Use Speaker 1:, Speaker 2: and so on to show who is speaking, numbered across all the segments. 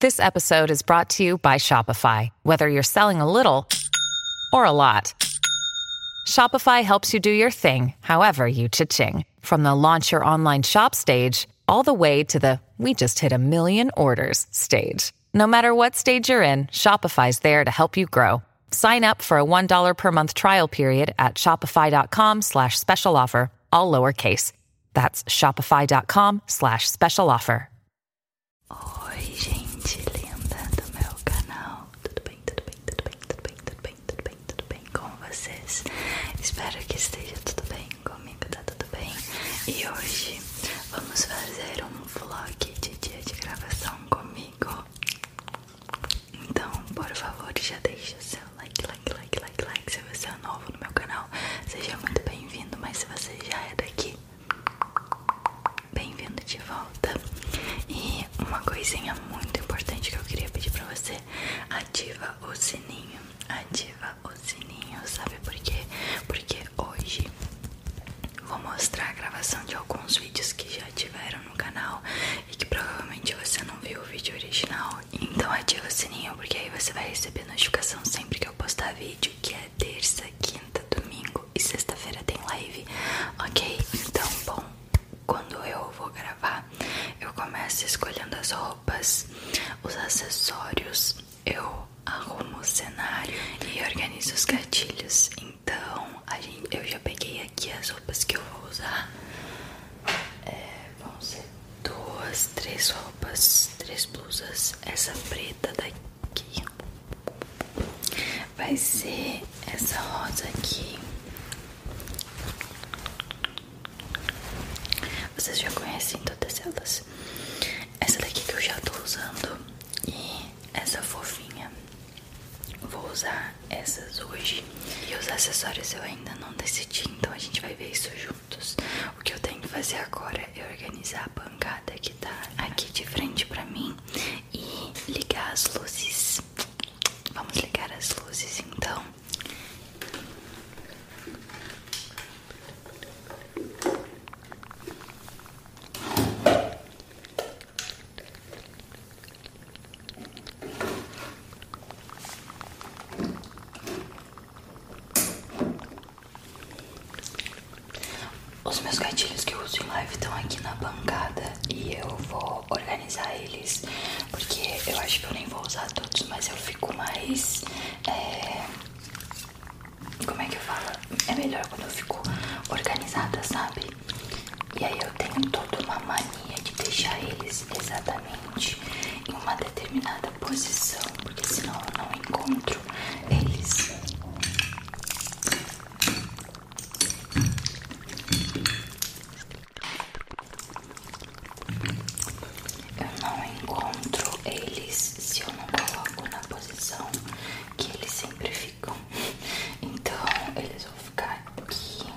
Speaker 1: This episode is brought to you by Shopify. Whether you're selling a little or a lot, Shopify helps you do your thing, however you cha-ching. From the launch your online shop stage, all the way to the we just hit a million orders stage. No matter what stage you're in, Shopify's there to help you grow. Sign up for a $1 per month trial period at shopify.com slash special offer, all lowercase. That's shopify.com slash special offer. Oi, gente linda do meu canal. Tudo bem, tudo bem, tudo bem, tudo bem, tudo bem, tudo bem, tudo bem com vocês? Espero que esteja tudo bem comigo, tá tudo bem? E hoje vamos fazer um vlog de dia de gravação comigo. Então, por favor, já deixa seu like, like, like, like, like. Se você é novo no meu canal, seja muito bem-vindo. Mas se você já é daqui, bem-vindo de volta. E uma coisinha muito importante que eu queria pedir pra você: ativa o sininho. Ativa o sininho, sabe por quê? Porque hoje vou mostrar a gravação de alguns vídeos que já tiveram no canal e que provavelmente você não viu o vídeo original então ativa o sininho porque aí você vai receber notificação sempre que eu postar vídeo, que é terça, quinta, domingo e sexta-feira tem live, ok? Então, bom, quando eu vou gravar, eu começo escolhendo as roupas, os acessórios, eu arrumo o cenário e organizo os gatilhos. Então, a gente, eu já peguei aqui as roupas que eu vou usar. É, vão ser duas, três roupas, três blusas. Essa preta daqui vai ser essa rosa aqui. Vocês já conhecem todas elas. Essa daqui que eu já tô usando e essa fofinha. Vou usar essas hoje. E os acessórios eu ainda não decidi, então a gente vai ver isso juntos. O que eu tenho que fazer agora é organizar a bancada que tá aqui de frente pra mim e ligar as luzes. Vamos ligar as luzes então. Os meus gatilhos que eu uso em live estão aqui na bancada e eu vou organizar eles porque eu acho que eu nem vou usar todos, mas eu fico mais. É, como é que eu falo? É melhor quando eu fico organizada, sabe? E aí eu tenho toda uma mania de deixar eles exatamente em uma determinada posição, porque senão eu não encontro eles. Eu não encontro eles se eu não coloco na posição que eles sempre ficam. Então eles vão ficar aqui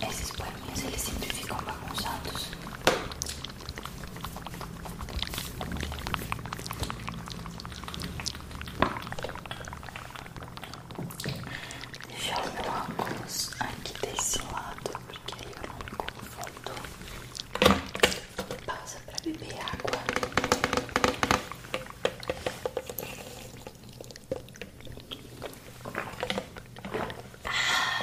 Speaker 1: Ah, esses poeminhos eles sempre ficam bagunçados. Deixa o meu óculos aqui desse lado porque ele é o único fundo que passa para beber água. Ah.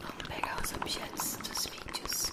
Speaker 1: Vamos pegar os objetos dos vídeos.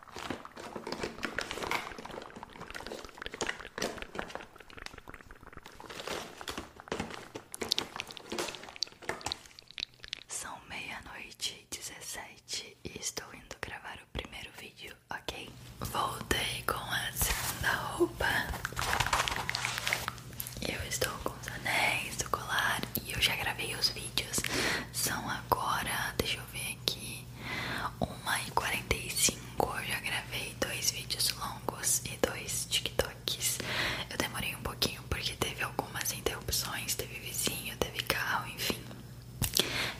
Speaker 1: São meia-noite e 17 e estou indo gravar o primeiro vídeo, ok? Voltei com a segunda roupa. Eu estou com os anéis, o colar, e eu já gravei os vídeos. São agora, deixa eu ver aqui, 1h45. Eu já gravei dois vídeos longos e dois TikToks. Eu demorei um pouquinho porque teve algumas interrupções, teve vizinho, teve carro, enfim.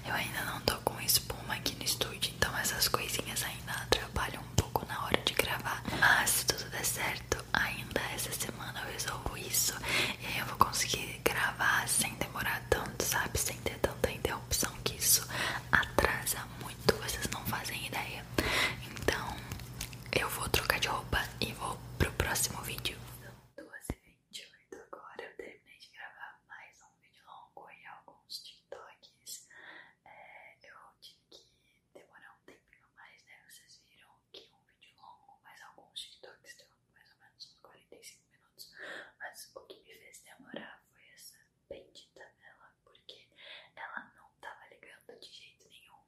Speaker 1: Eu ainda não tô com espuma aqui no estúdio, então essas coisinhas ainda atrapalham um pouco na hora de gravar. Mas se tudo der certo, ainda essa semana eu resolvo isso e aí eu vou conseguir gravar sem demorar tanto, sabe? Sem ter tanta interrupção, que isso atrasa muito, vocês não fazem ideia. Então, eu vou trocar de roupa e vou pro próximo vídeo. São 2h28 agora, eu terminei de gravar mais um vídeo longo e alguns TikToks. É, eu tive que demorar um tempinho mais, né? Vocês viram que um vídeo longo, mas alguns TikToks deu mais ou menos uns 45 minutos. Mas o que me fez demorar foi essa bendita vela, porque ela não tava ligando de jeito nenhum.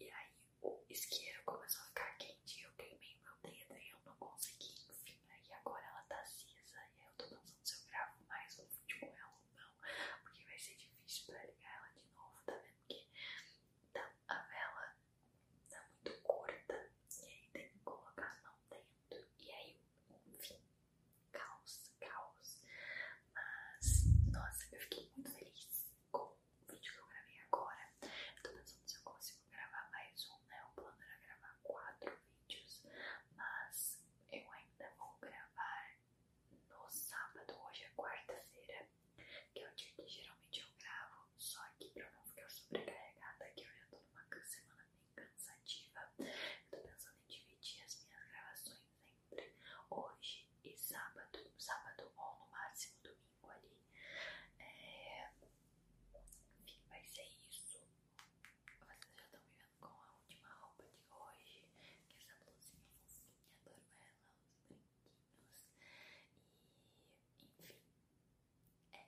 Speaker 1: E aí o isqueiro começou a ficar quente e eu queimei meu dedo e eu não consegui, enfim. Aí né? agora ela tá cinza e aí eu tô pensando se eu gravo mais um vídeo com ela ou não, porque vai ser difícil pra ligar ela de novo, tá vendo? Tá a vela tá muito curta e aí tem que colocar a mão dentro e aí enfim caos, caos mas nossa eu fiquei muito feliz com o vídeo que eu gravei agora eu tô pensando se eu consigo gravar mais um né, o plano era gravar quatro vídeos mas eu ainda vou gravar no sábado, hoje é quarta-feira que é o dia que geralmente eu gravo, só que pra eu não ficar sobrecarregada, que eu já tô numa semana bem cansativa, eu tô pensando em dividir as minhas gravações entre hoje e sábado, sábado ou no máximo domingo ali. É, enfim, vai ser isso. Vocês já estão me vendo com a última roupa de hoje, que é essa blusinha fofinha, adoro ela, os brinquedos. É,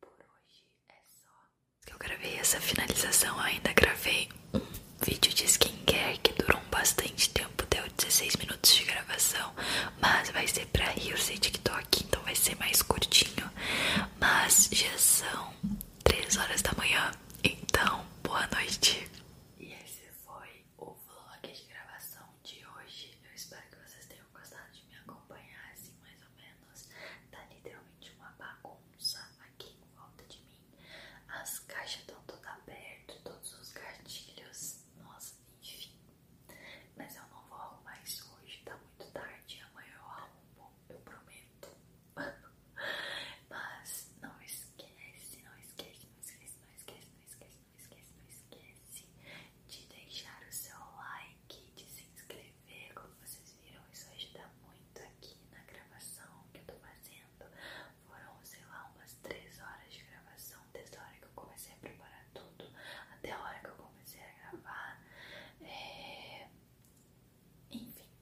Speaker 1: por hoje é só. Eu gravei essa finalização, ainda gravei um vídeo de skincare que durou bastante tempo, deu 16 minutos de gravação, mas vai ser pra Rios e TikTok, então vai ser mais curtinho. Mas já são 3 horas da manhã, então boa noite. E esse foi o vlog de gravação de hoje. Eu espero que vocês tenham gostado de me acompanhar, assim mais ou menos. Tá literalmente uma bagunça aqui em volta de mim. As caixas estão todas abertas, todos os gatilhos, nossa, enfim. Mas eu não vou arrumar isso hoje, tá muito tarde. Amanhã eu arrumo, eu prometo. Mas não esquece, não esquece, não esquece, não esquece, não esquece, não esquece, não esquece de deixar o seu like, de se inscrever, como vocês viram, isso ajuda muito aqui na gravação que eu tô fazendo. Foram, sei lá, umas 3 horas de gravação, desde a hora que eu comecei a preparar tudo até a hora que eu comecei a gravar. É, enfim,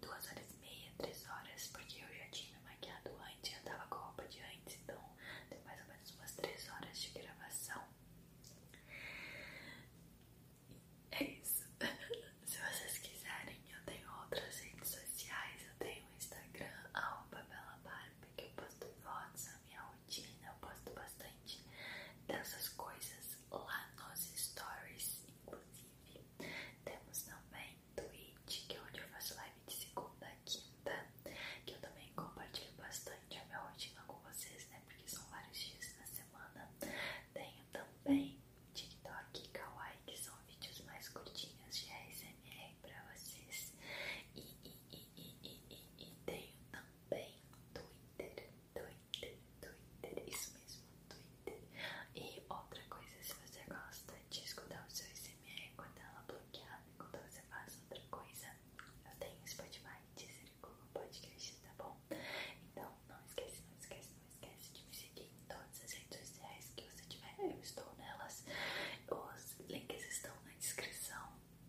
Speaker 1: duas horas e meia, três horas, porque eu já tinha me maquiado antes, já tava com a roupa de antes, então tem mais ou menos umas três horas de gravação. É isso. Se vocês quiserem, eu tenho outras redes sociais, eu tenho o Instagram, Babela belabarba, que eu posto fotos, a minha rotina, eu posto bastante dessas coisas lá nos stories, inclusive. Temos também Twitch, que é onde eu faço live de segunda a quinta, que eu também compartilho bastante a minha rotina com vocês, né? Porque são vários dias na semana. Tenho também TikTok e Kawaii, que são vídeos mais curtinhos de ASMR pra vocês. E, e, e, e, e, e, e tenho também Twitter, Twitter, Twitter, isso mesmo, Twitter. E outra coisa, se você gosta de escutar o seu SMR quando ela é bloquear, quando você faz outra coisa, eu tenho Spotify, Deezer e Google Podcast, tá bom? Então não esquece, não esquece, não esquece de me seguir em todas as redes sociais que você tiver, eu estou nelas. Os links estão na descrição.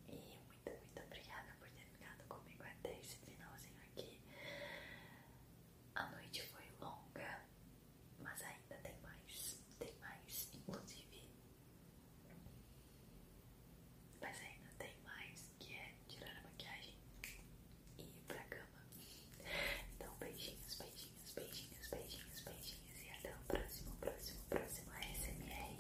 Speaker 1: E muito, muito obrigada por ter ficado comigo até esse finalzinho aqui. A noite foi longa, mas ainda tem mais, tem mais, inclusive. Mas ainda tem mais, que é tirar a maquiagem e ir pra cama. Então, beijinhos, beijinhos, beijinhos, beijinhos, beijinhos e até o próximo, próximo, próximo ASMR.